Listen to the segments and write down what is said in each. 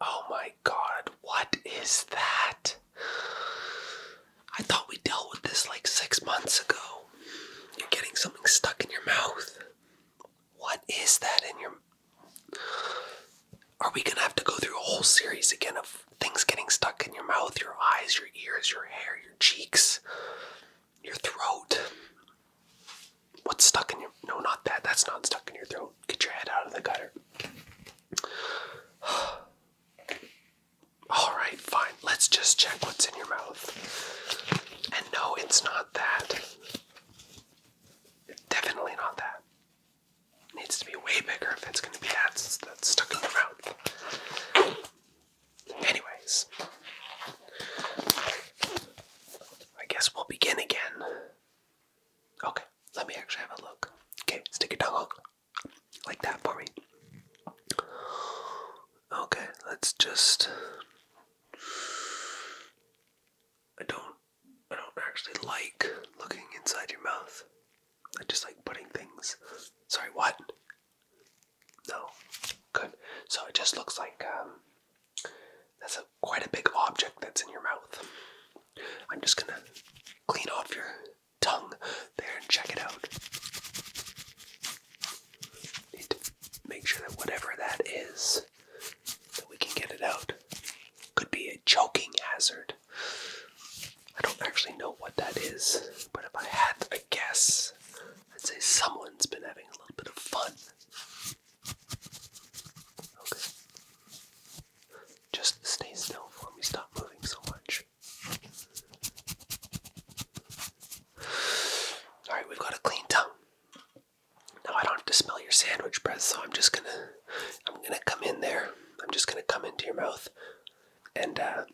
Oh my god, what is that? I thought we dealt with this like six months ago. You're getting something stuck in your mouth. What is that in your. Are we gonna have to go through a whole series again of things getting stuck in your mouth, your eyes, your ears, your hair, your cheeks, your throat? What's stuck in your no not that that's not stuck in your throat. Get your head out of the gutter. Alright, fine. Let's just check what's in your mouth. And no, it's not that. Definitely not that. needs to be way bigger if it's gonna be that stuck in your mouth. Anyways, I guess we'll begin again. Okay, let me actually have a look. Okay, stick your tongue out like that for me. Okay, let's just. I don't. I don't actually like looking inside your mouth. I just like putting things. Sorry, what? No. Good. So it just looks like um, that's a, quite a big object that's in your mouth. I'm just gonna clean off your tongue there and check it out. Need to make sure that whatever that is, that we can get it out. Could be a choking hazard. I don't actually know what that is, but if I had a guess, I'd say someone's been having a little bit of fun Okay. Just stay still for me. Stop moving so much. Alright, we've got a clean tongue. Now I don't have to smell your sandwich breath, so I'm just gonna I'm gonna come in there. I'm just gonna come into your mouth and uh,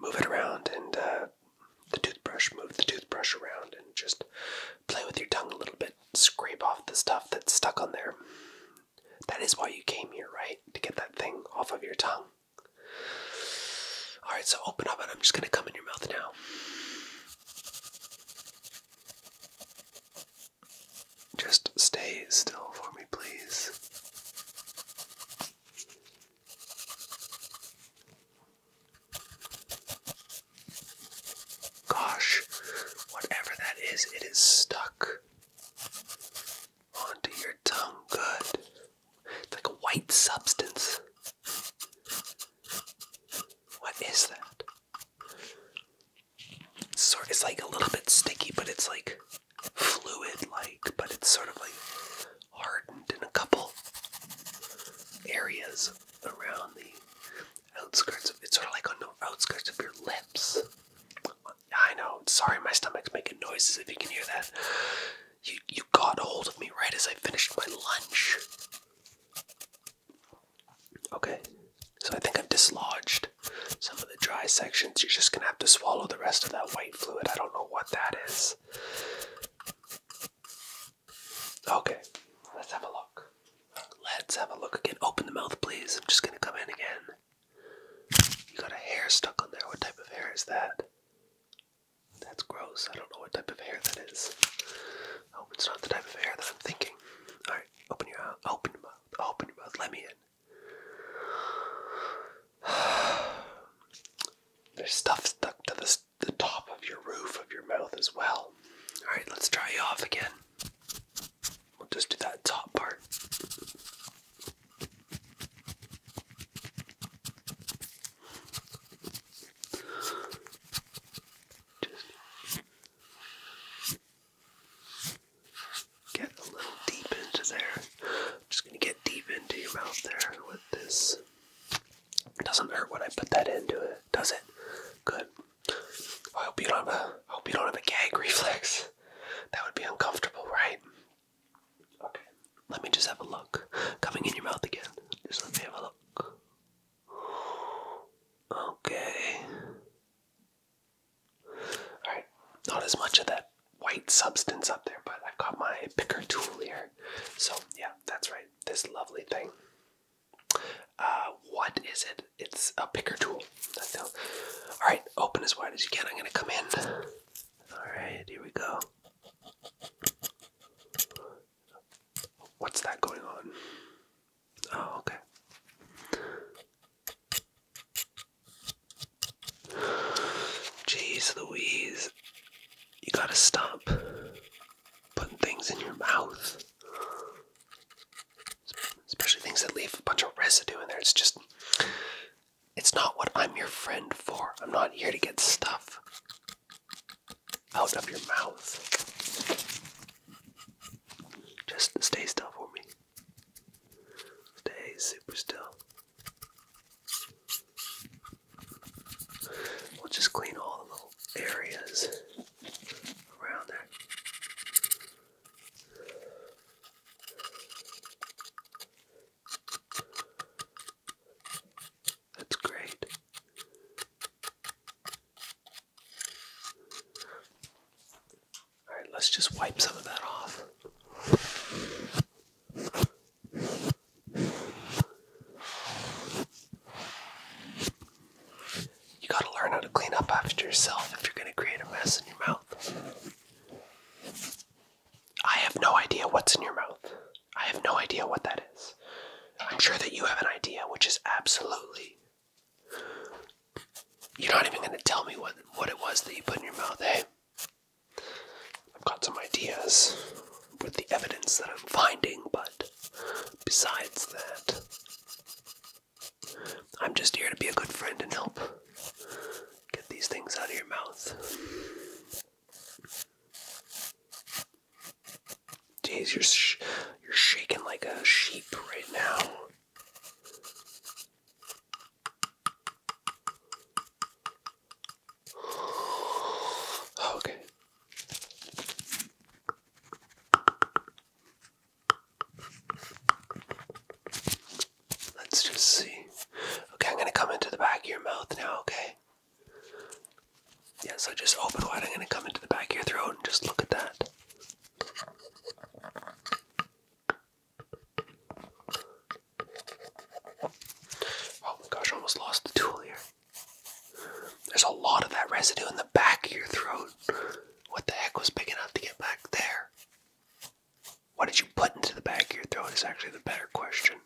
move it around and uh, the toothbrush, move the toothbrush around and just play with your tongue a little bit, scrape off the stuff that's stuck on there. That is why you came here, right? To get that thing off of your tongue. Alright, so open up and I'm just going to come in your mouth now. Just stay still for me, please. Gosh, whatever that is, it is stuck onto your tongue. Good. It's like a white substance. What is that? It's sort it's like a little bit sticky, but it's like fluid like, but it's sort of like hardened in a couple areas around the outskirts of it's sort of like on the outskirts of your lips. I know. Sorry, my stomach's making noises. If you can hear that, you you got hold of me right as I finished my lunch. Okay, so I think I've dislodged some of the dry sections. You're just gonna have to swallow the rest of that white fluid. I don't know what that is. Okay, let's have a look. Let's have a look again. Open the mouth, please. I'm just gonna come in again. You got a hair stuck on there. What type of hair is that? That's gross. I don't know what type of hair that is. I hope it's not the type of hair that I'm thinking. Alright, open your mouth. Open your mouth. Open your mouth. Let me in. There's stuff stuck to the the top of your roof of your mouth as well. Alright, let's try you off again. We'll just do that top part. Just get a little deep into there. I'm just going to get deep into your mouth there with this doesn't hurt when I put that into it, does it? Good. I hope you don't have a I hope you don't have a gag reflex. That would be uncomfortable, right? Okay. Let me just have a look. Coming in your mouth again. Just let me have a look. Okay. Alright. Not as much of that white substance up there, but I've got my picker tool here. So yeah, that's right. This lovely thing. Uh, what is it? It's a picker tool. All right, open as wide as you can. I'm gonna come in. All right, here we go. What's that going on? Oh, okay. Jeez Louise, you gotta stop putting things in your mouth. Especially things that leave a bunch of residue in there. It's just, it's not what I'm your friend for. I'm not here to get stuff out of your mouth. Just stay still for me. Stay super still. We'll just clean all the little areas around there. That's great. All right, let's just wipe some of that off. You gotta learn how to clean up after yourself if you're gonna create a mess in your mouth. I have no idea what's in your mouth. I have no idea what that is. I'm sure that you have an idea, which is absolutely. You're not even gonna tell me what what it was that you put in your mouth, eh? I've got some ideas with the evidence that I'm finding, but besides that, I'm just here to be a good friend and help get these things out of your mouth. Jeez, you're you're shaking like a sheep right now. Oh, okay. Let's just see. Okay, I'm gonna come into the back of your mouth now, okay? Yeah, so just open wide. I'm gonna come into the back of your throat and just look at that. Oh my gosh, I almost lost the tool here. There's a lot of that residue in the back of your throat. What the heck was big enough to get back there? What did you put into the back of your throat is actually the better question.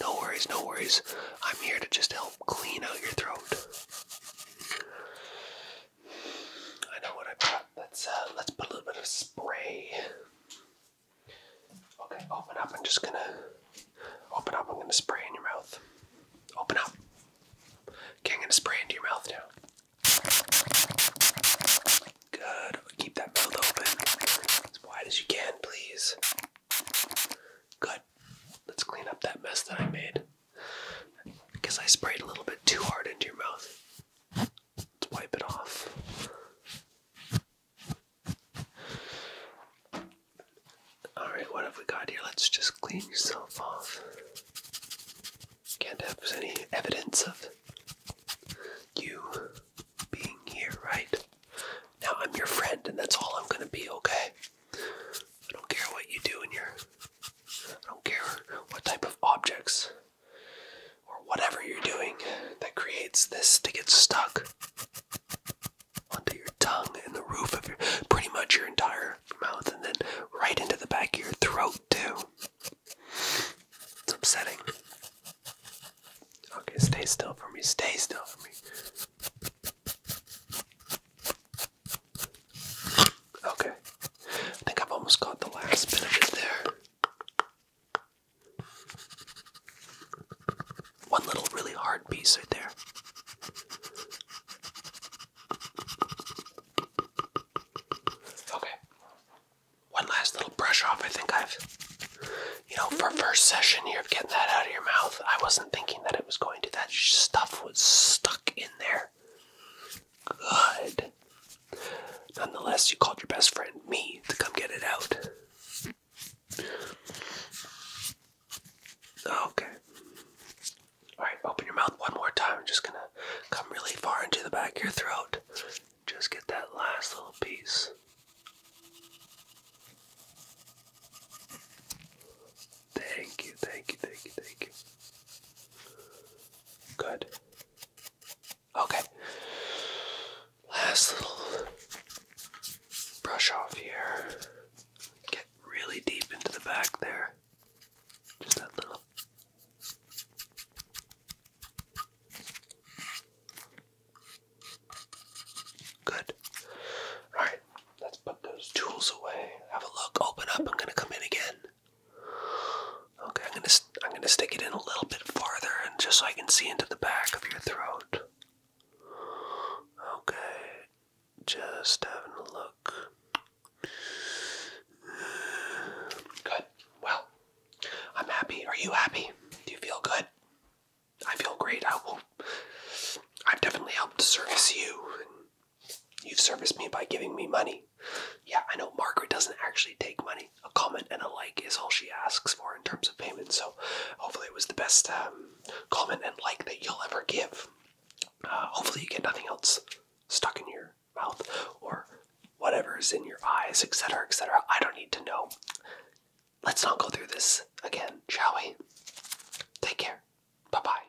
No worries, no worries. I'm here to just help clean out your throat. I know what I brought. Let's uh, let's put a little bit of spray. Okay, open up. I'm just gonna open up. I'm gonna spray in your mouth. Open up. Okay, I'm gonna spray into your mouth now. Good. Keep that mouth open as wide as you can, please. Good. Let's clean up that mess that I made because I sprayed a little bit too hard into your mouth. Let's wipe it off. Alright, what have we got here? Let's just clean yourself off. Can't have any evidence of you being here, right? Now I'm your friend, and that's all I'm gonna be, okay? I don't care what you do in your. I don't care what type of objects or whatever you're doing that creates this to get stuck onto your tongue and the roof of your pretty much your entire mouth and then right into the back of your throat too. It's upsetting. Okay, stay still for me. Stay still for me. Okay. I think I've almost got the last bit of it there. One little really hard piece right there. Okay. One last little brush off. I think I've, you know, for first session here of getting that out of your mouth, I wasn't thinking that it was going to. That stuff was stuck in there good. Nonetheless, you called your best friend, me, to come get it out. Okay. Alright, open your mouth one more time. I'm just gonna come really far into the back of your throat. Just get that last little piece. Thank you, thank you, thank you, thank you. Good. Okay. Last little brush off here. Get really deep into the back there. Just that little. Good. Alright, let's put those tools away. Have a look. Open up. I'm going to come in again. Okay, I'm gonna I'm gonna stick it in a little bit farther, and just so I can see into the back of your throat. Okay, just having a look. Good. Well, I'm happy. Are you happy? Do you feel good? I feel great. I will. I've definitely helped service you You've serviced me by giving me money. Yeah, I know Margaret doesn't actually take money. A comment and a like is all she asks for in terms of payment, so hopefully it was the best um, comment and like that you'll ever give. Uh, hopefully you get nothing else stuck in your mouth or whatever is in your eyes, etc., etc. I don't need to know. Let's not go through this again, shall we? Take care. Bye bye.